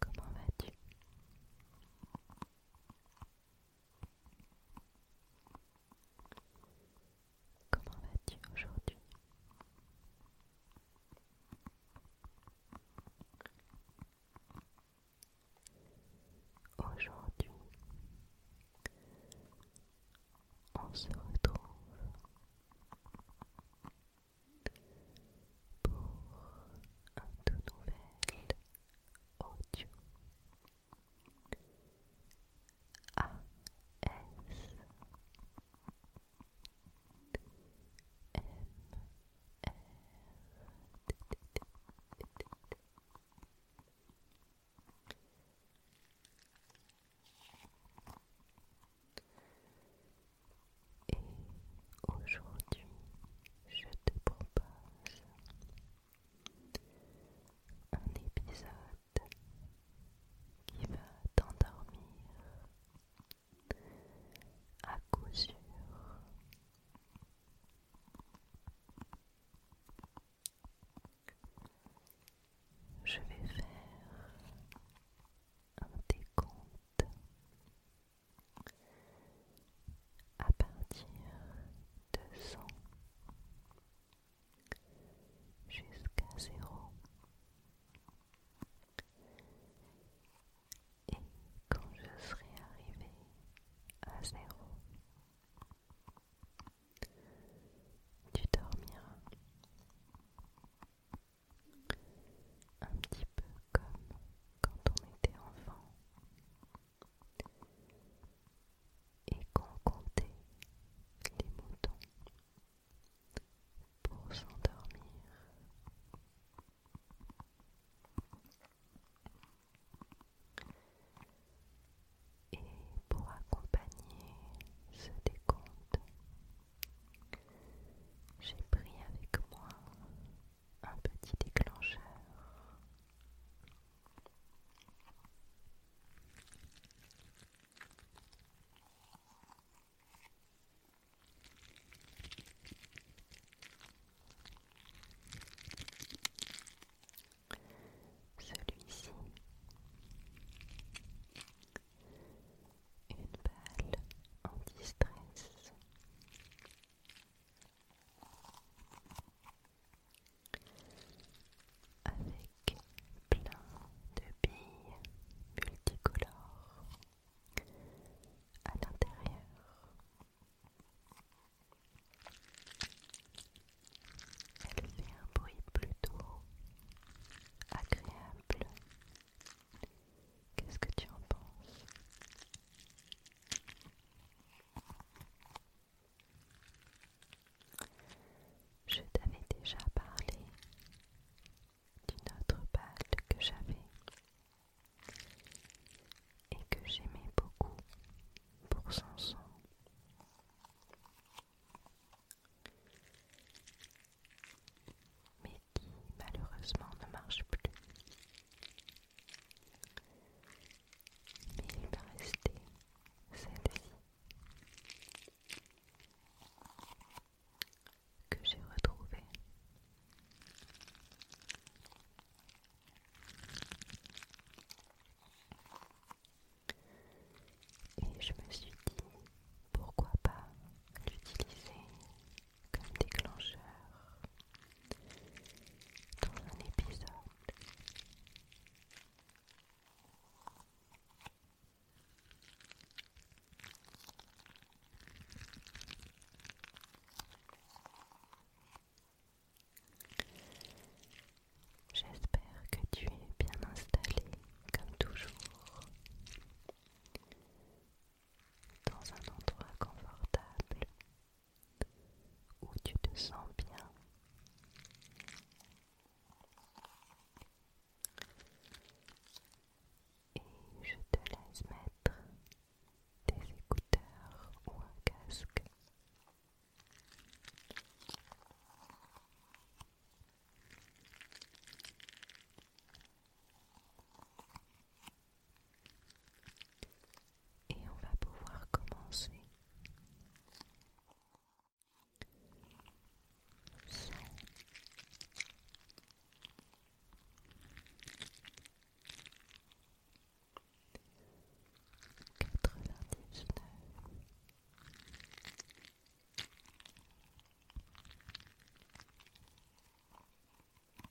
Comment vas-tu Comment vas-tu aujourd'hui Aujourd'hui, on se retrouve pour un tout nouvel audio ASMR et aujourd'hui, je te propose un épisode qui va t'endormir à coup sûr. Je vais faire un décompte à partir de 100 jusqu'à 0 et quand je serai arrivée à 0 tu dormiras un petit peu comme quand on était enfant et qu'on comptait les moutons pour s'endormir. Et pour accompagner ce décompte, j'ai pris avec moi un petit déclencheur. Celui-ci une balle anti-stress. Avec plein de billes multicolores à l'intérieur. Elle fait un bruit plutôt agréable Qu'est-ce que tu en penses Je t'avais déjà parlé d'une autre balle que j'avais et que j'aimais beaucoup pour son son mais qui malheureusement ne marche plus. Mais il me rester celle-ci que j'ai retrouvée. Et je me suis dit pourquoi pas l'utiliser comme déclencheur dans un épisode. J'espère que tu es bien installé comme toujours dans un endroit confortable où tu te sens bien. Et je te laisse mettre des écouteurs ou un casque. Et on va pouvoir commencer quatre vingt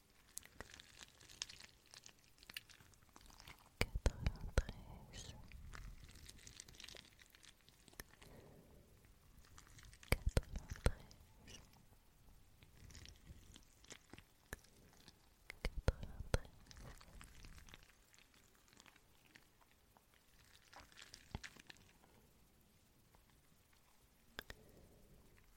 quatre vingt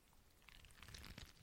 quatre-vingt-onze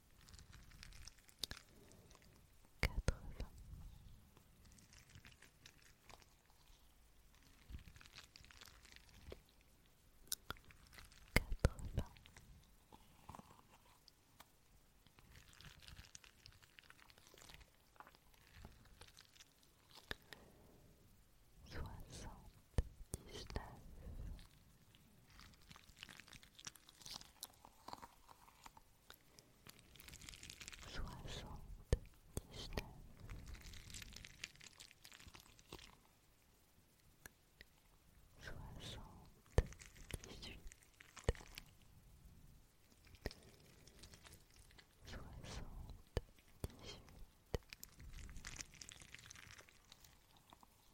quatre-vingts. Quatre-vingts. Soixante-dix-neuf soixante-dix-neuf soixante-dix-huit soixante-dix-huit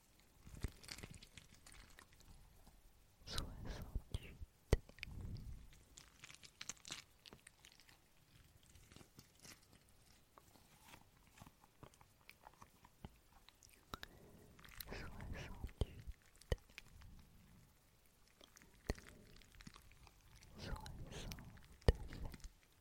soixante-huit soixante-huit soixante-sept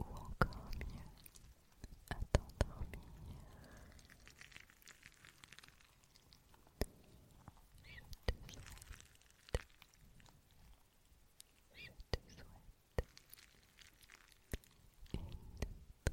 ou encore mieux à t'endormir. Je te souhaite, je te souhaite une très très très très très bonne nuit.